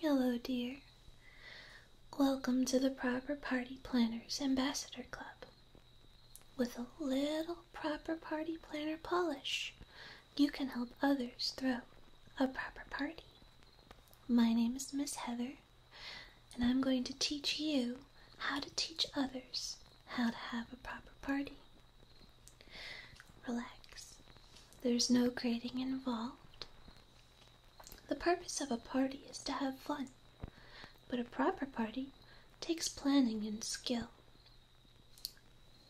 Hello, dear. Welcome to the Proper Party Planners Ambassador Club. With a little proper party planner polish, you can help others throw a proper party. My name is Miss Heather, and I'm going to teach you how to teach others how to have a proper party. Relax, there's no grading involved. The purpose of a party is to have fun, but a proper party takes planning and skill.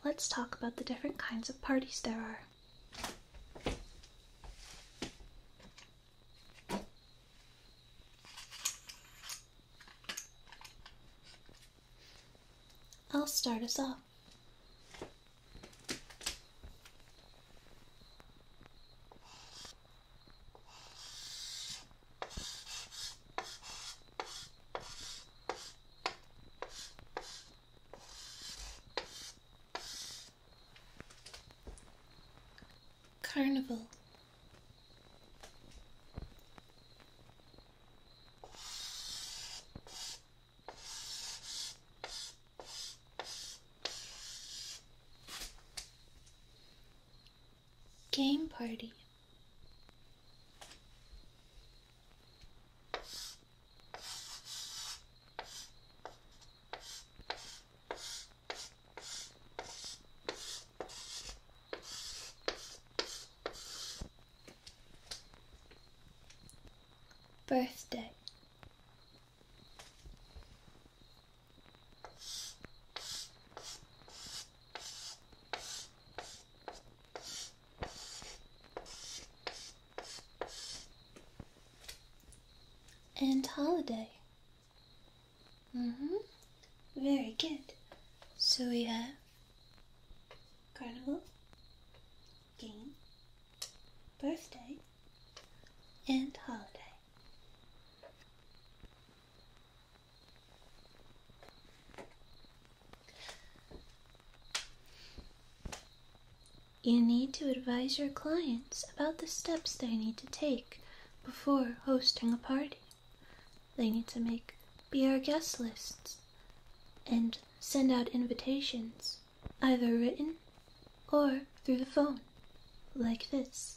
Let's talk about the different kinds of parties there are. I'll start us off. Carnival. Game party. Birthday and holiday. Mm-hmm. Very good. So we have carnival, game, birthday, and holiday. You need to advise your clients about the steps they need to take before hosting a party. They need to make be guest lists and send out invitations, either written or through the phone, like this.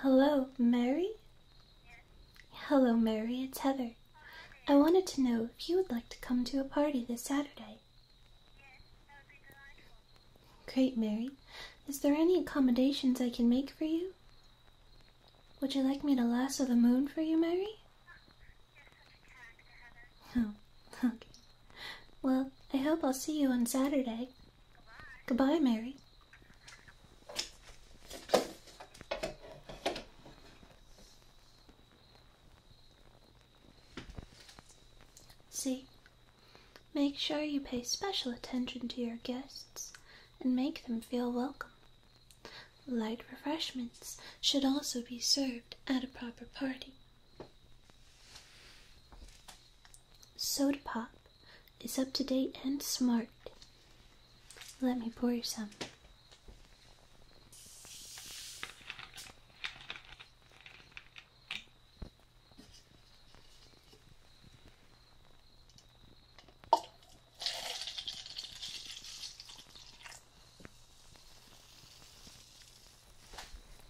Hello, Mary? Hello, Mary, it's Heather. I wanted to know if you would like to come to a party this Saturday. Great, Mary. Is there any accommodations I can make for you? Would you like me to lasso the moon for you, Mary? Oh, okay. Well, I hope I'll see you on Saturday. Goodbye, Goodbye Mary. See, make sure you pay special attention to your guests and make them feel welcome. Light refreshments should also be served at a proper party. Soda Pop is up to date and smart. Let me pour you some.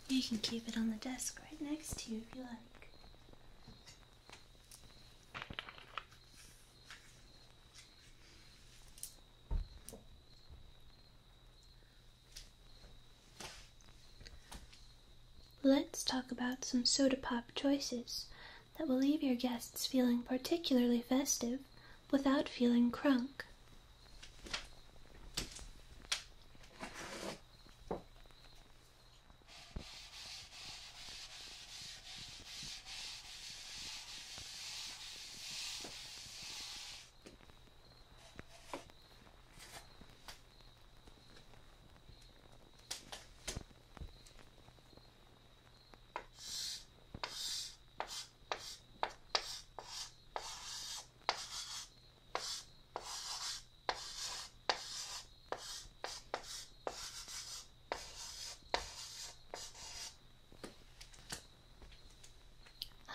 You can keep it on the desk right next to you if you like. Let's talk about some soda pop choices that will leave your guests feeling particularly festive without feeling crunk.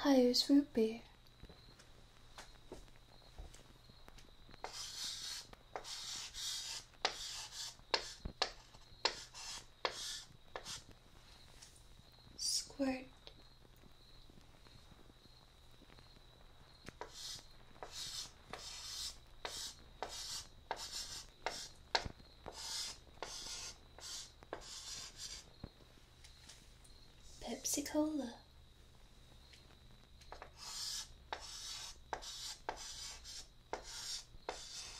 Hi, it's root Squirt. Pepsi Cola.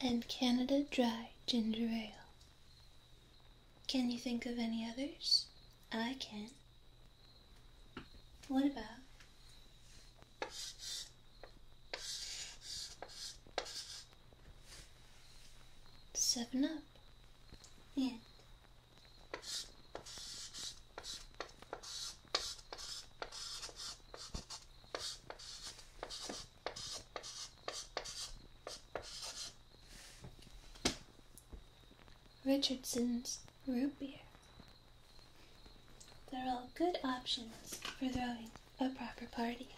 and Canada Dry Ginger Ale. Can you think of any others? I can. What about? Seven Up and Richardson's root beer. They're all good options for throwing a proper party.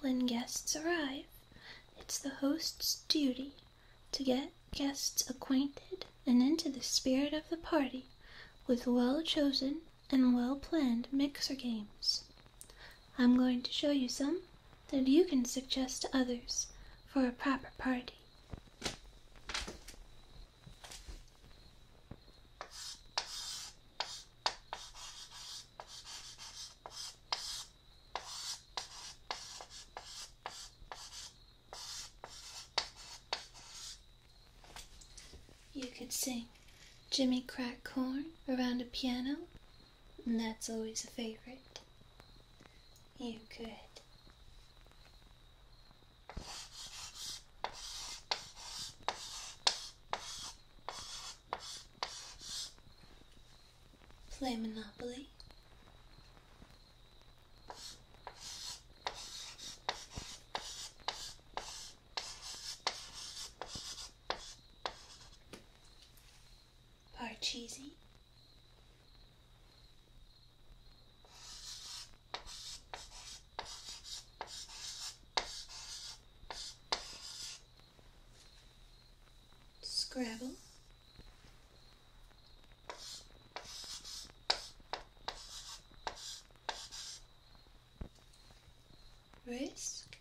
When guests arrive, it's the host's duty to get guests acquainted and into the spirit of the party with well chosen and well planned mixer games. I'm going to show you some that you can suggest to others for a proper party. You could sing Jimmy Crack Corn around a piano, and that's always a favorite. You could. Play Monopoly. Parcheesi. Scrabble. Risk,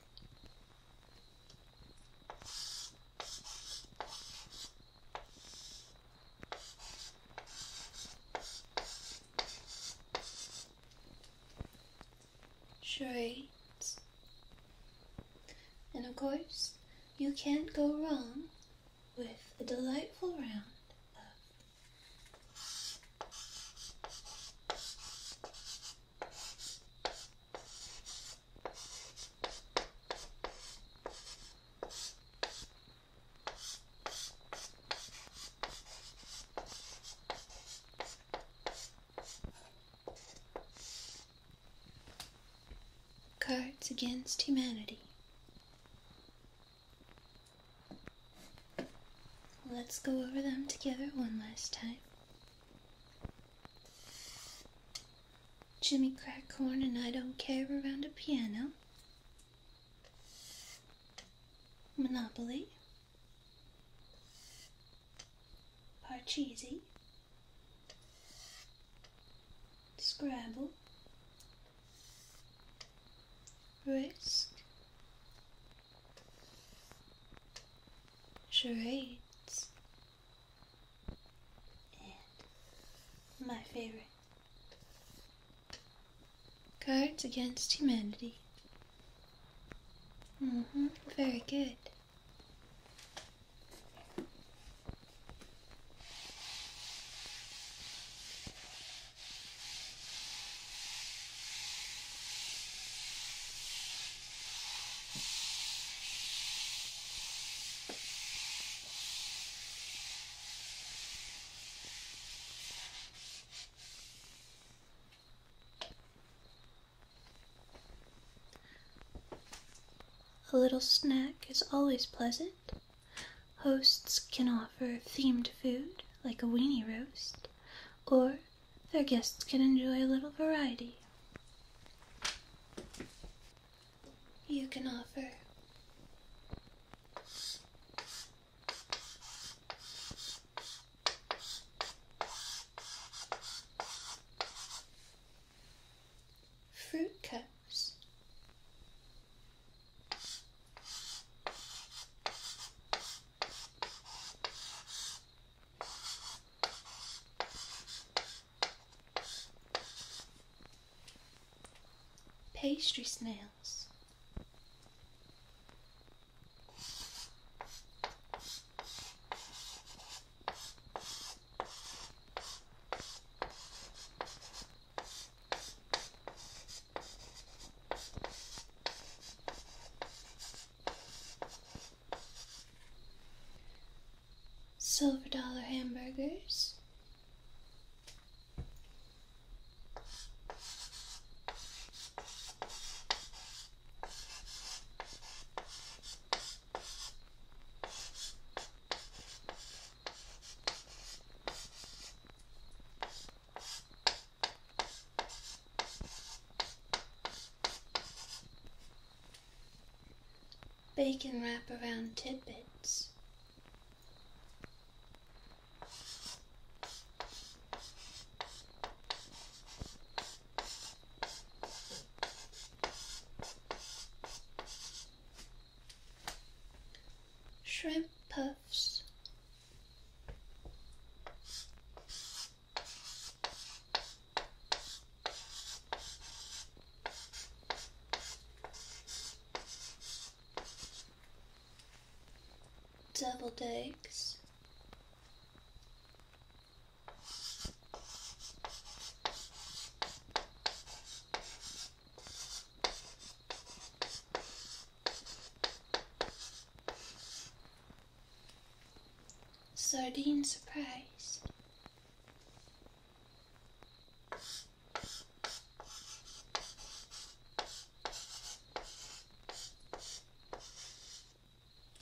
straight, and of course, you can't go wrong with a delightful round of Cards Against Humanity Let's go over them together one last time. Jimmy Crackhorn and I Don't Care around a piano. Monopoly. Parcheesi. Scrabble. Risk charades, my favorite Cards Against Humanity. hmm, very good. A little snack is always pleasant. Hosts can offer themed food like a weenie roast or their guests can enjoy a little variety. You can offer fruit cups. Pastry snails. Silver dollar hamburgers. Bacon wrap around tidbits. Shrimp puffs deviled eggs. Sardine surprise.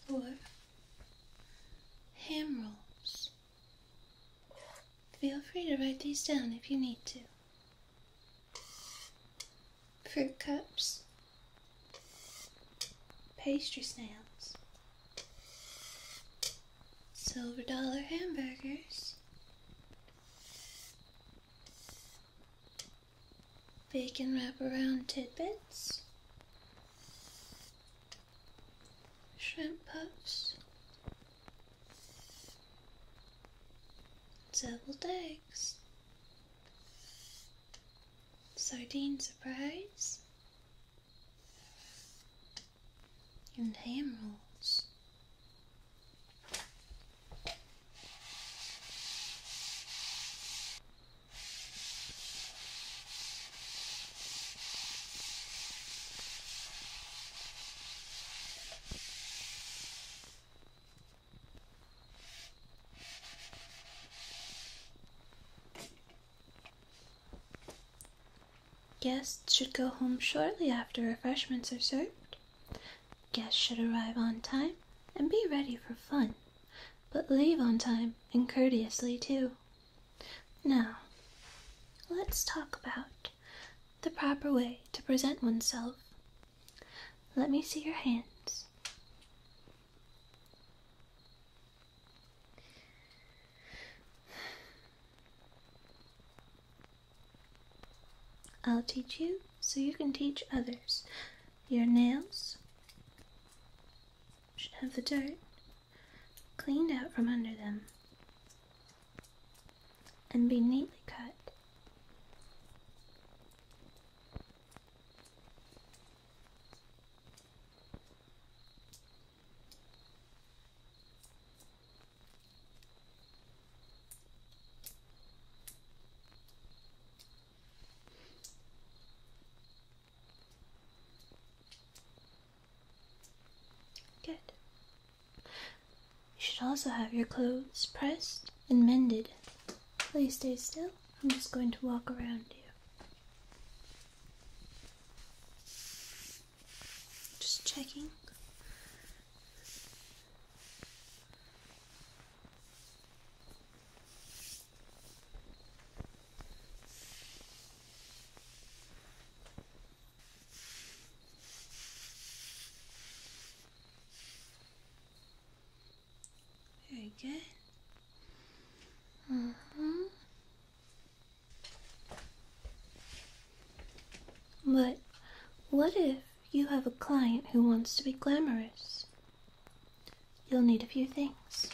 Or ham rolls. Feel free to write these down if you need to fruit cups, pastry snails, silver dollar hamburgers, bacon wraparound tidbits, shrimp puffs, deviled eggs sardine surprise, and ham rolls. Guests should go home shortly after refreshments are served. Guests should arrive on time and be ready for fun, but leave on time and courteously too. Now, let's talk about the proper way to present oneself let me see your hands. I'll teach you so you can teach others. Your nails should have the dirt cleaned out from under them and be neatly cut. Good. You should also have your clothes pressed and mended. Please stay still. I'm just going to walk around you. Just checking. Very good. Mm-hmm. But what if you have a client who wants to be glamorous? You'll need a few things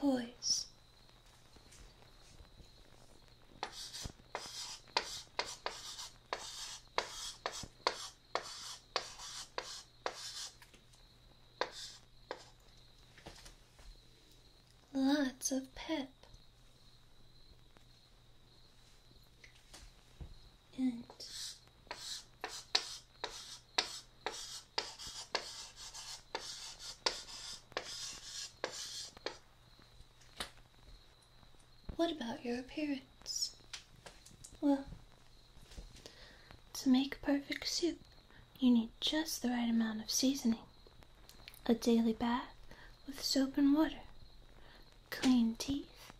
poise. Lots of pep and what about your appearance? Well, to make perfect soup, you need just the right amount of seasoning. A daily bath with soap and water. Clean teeth.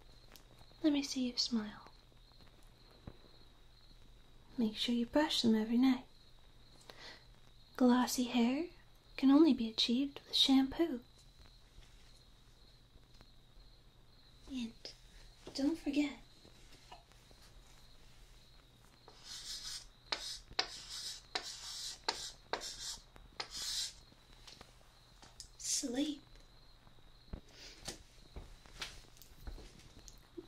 Let me see you smile. Make sure you brush them every night. Glossy hair can only be achieved with shampoo. And don't forget sleep.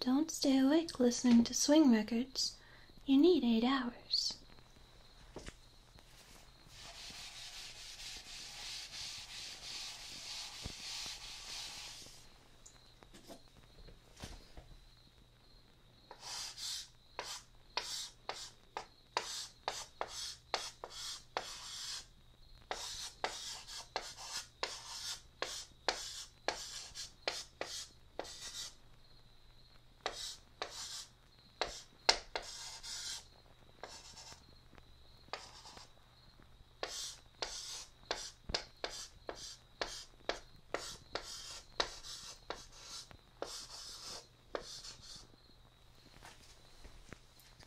Don't stay awake listening to swing records. You need eight hours.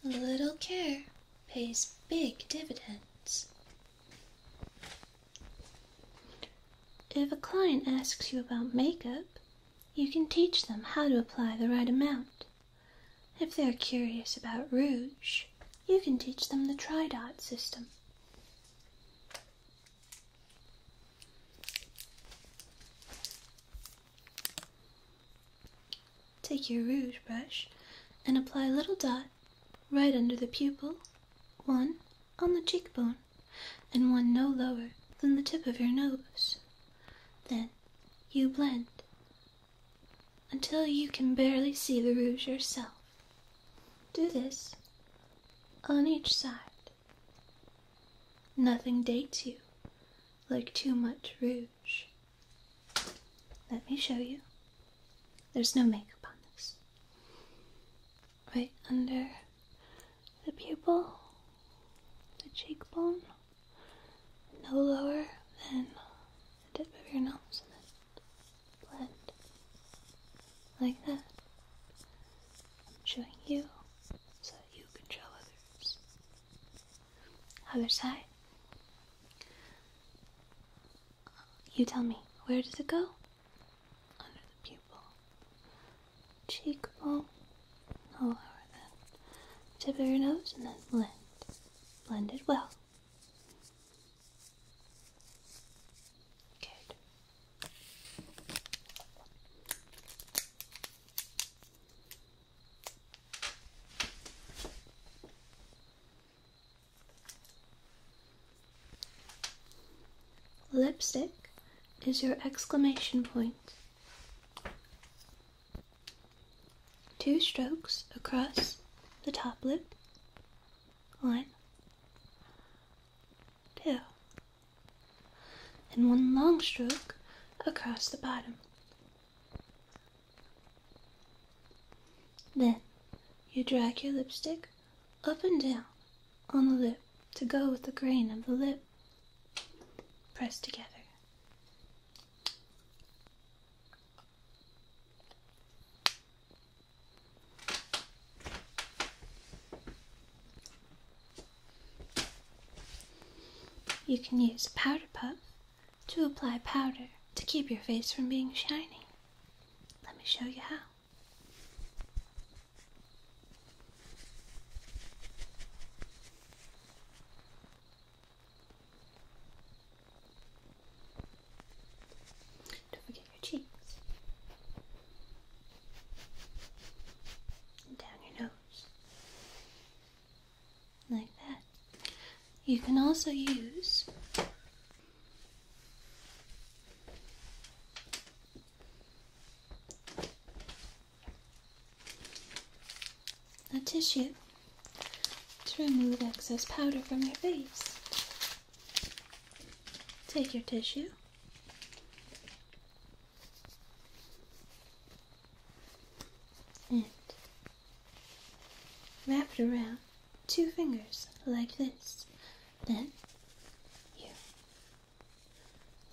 Little care pays big dividends. If a client asks you about makeup, you can teach them how to apply the right amount. If they're curious about rouge, you can teach them the tri dot system. Take your rouge brush and apply a little dot right under the pupil, one on the cheekbone, and one no lower than the tip of your nose. Then you blend until you can barely see the rouge yourself. Do this on each side. Nothing dates you like too much rouge. Let me show you. There's no makeup on this. Right under the pupil, the cheekbone, no lower than the tip of your nose, and then blend like that. I'm showing you so that you can show others. Other side. You tell me, where does it go? Under the pupil. Cheekbone. No lower than. Tip of your nose and then blend. Blend it well. Good. Lipstick is your exclamation point. Two strokes across the top lip. One, two, and one long stroke across the bottom. Then you drag your lipstick up and down on the lip to go with the grain of the lip. Press together. You can use a powder puff to apply powder to keep your face from being shiny. Let me show you how. Don't forget your cheeks. And down your nose. Like that. You can also use a tissue to remove excess powder from your face. Take your tissue. And wrap it around two fingers like this. Then you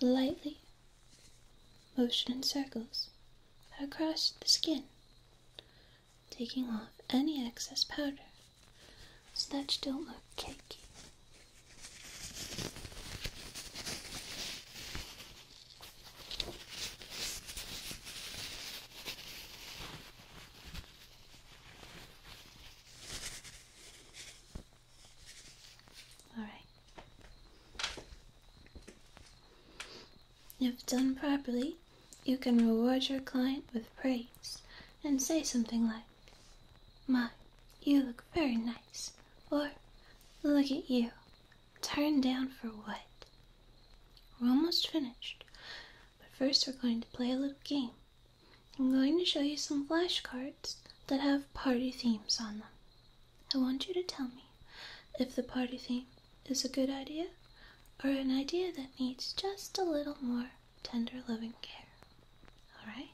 lightly motion in circles across the skin, taking off any excess powder so that you don't look cakey. All right. If done properly, you can reward your client with praise and say something like, My, you look very nice, or Look at you. Turned down for what? We're almost finished. But first, we're going to play a little game. I'm going to show you some flashcards that have party themes on them. I want you to tell me if the party theme is a good idea or an idea that needs just a little more tender loving care. Alright?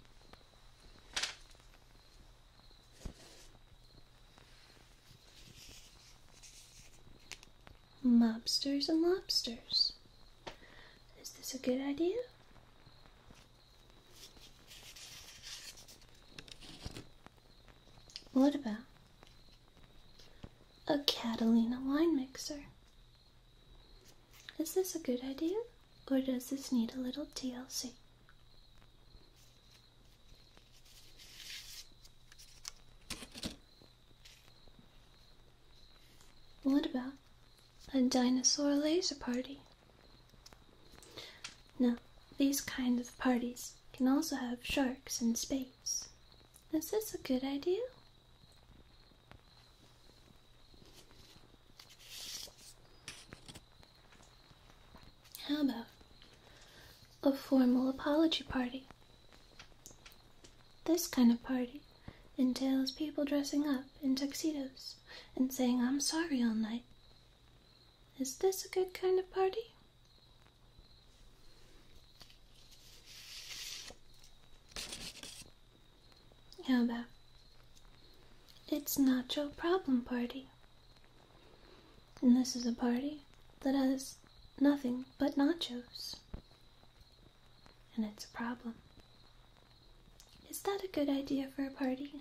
mobsters and lobsters. Is this a good idea? What about a Catalina wine mixer? Is this a good idea or does this need a little TLC? What about a dinosaur laser party? No, these kinds of parties can also have sharks and space. Is this a good idea? How about a formal apology party this kind of party entails people dressing up in tuxedos and saying, I'm sorry all night. Is this a good kind of party? How about it's nacho problem party? And this is a party that has nothing but nachos and it's a problem. Is that a good idea for a party?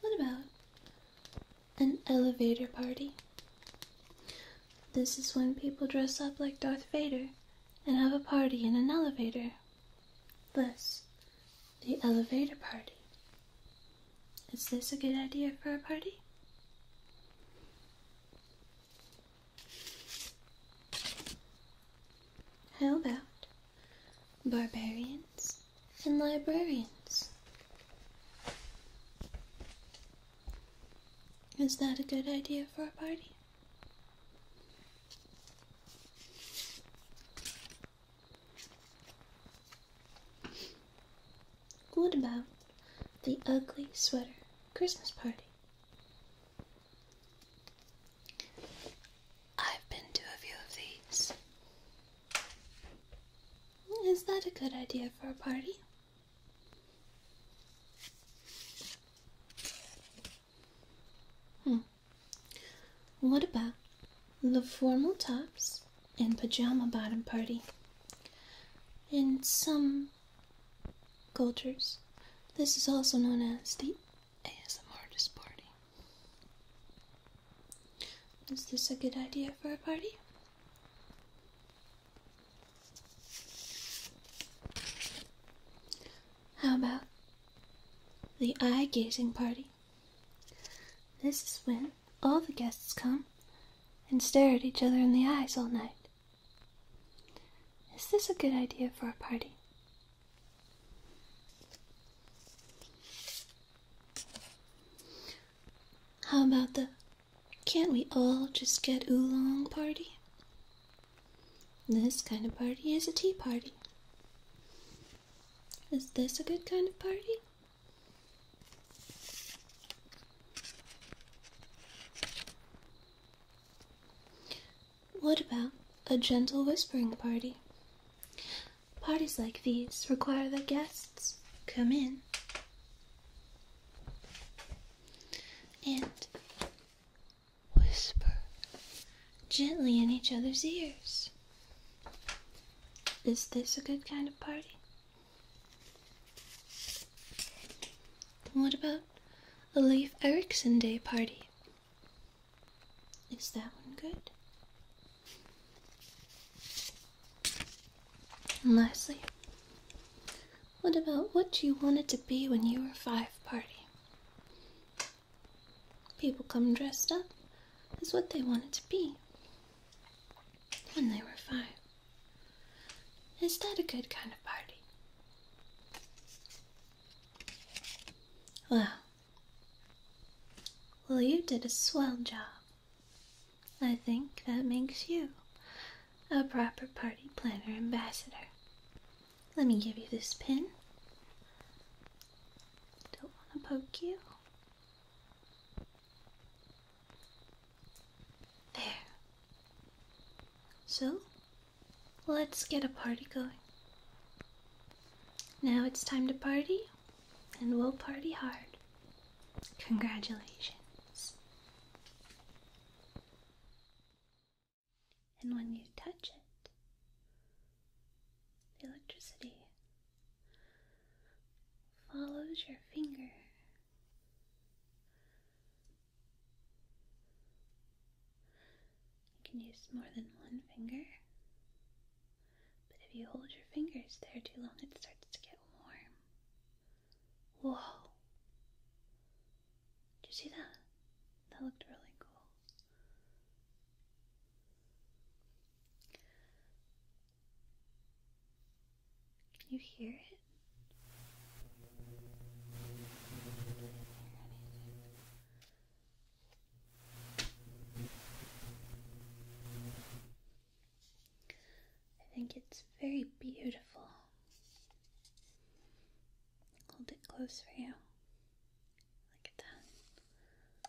What about an elevator party? This is when people dress up like Darth Vader and have a party in an elevator. This the elevator party. Is this a good idea for a party? How about barbarians and librarians? Is that a good idea for a party? What about the ugly sweater Christmas party? I've been to a few of these. Is that a good idea for a party? Hmm. What about the formal tops and pajama bottom party. In some cultures, this is also known as the ASMR artist party. Is this a good idea for a party? How about the eye gazing party? This is when all the guests come and stare at each other in the eyes all night. Is this a good idea for a party? How about the can't we all just get oolong party? This kind of party is a tea party. Is this a good kind of party? What about a gentle whispering party? Parties like these require that guests come in and whisper gently in each other's ears. Is this a good kind of party? what about a leaf Ericson Day party? Is that one good? And what about what you wanted to be when you were five party? People come dressed up as what they wanted to be when they were five. Is that a good kind of party? Well, well, you did a swell job. I think that makes you a proper party planner ambassador. Let me give you this pin. Don't want to poke you. There. So, let's get a party going. Now it's time to party, and we'll party hard. Congratulations. And when you touch it, the electricity follows your finger. You can use more than one finger, but if you hold your fingers there too long, it starts to get warm. Whoa! Did you see that? That looked really cool. Can you hear it? I think it's very beautiful. Hold it close for you. Like a ton.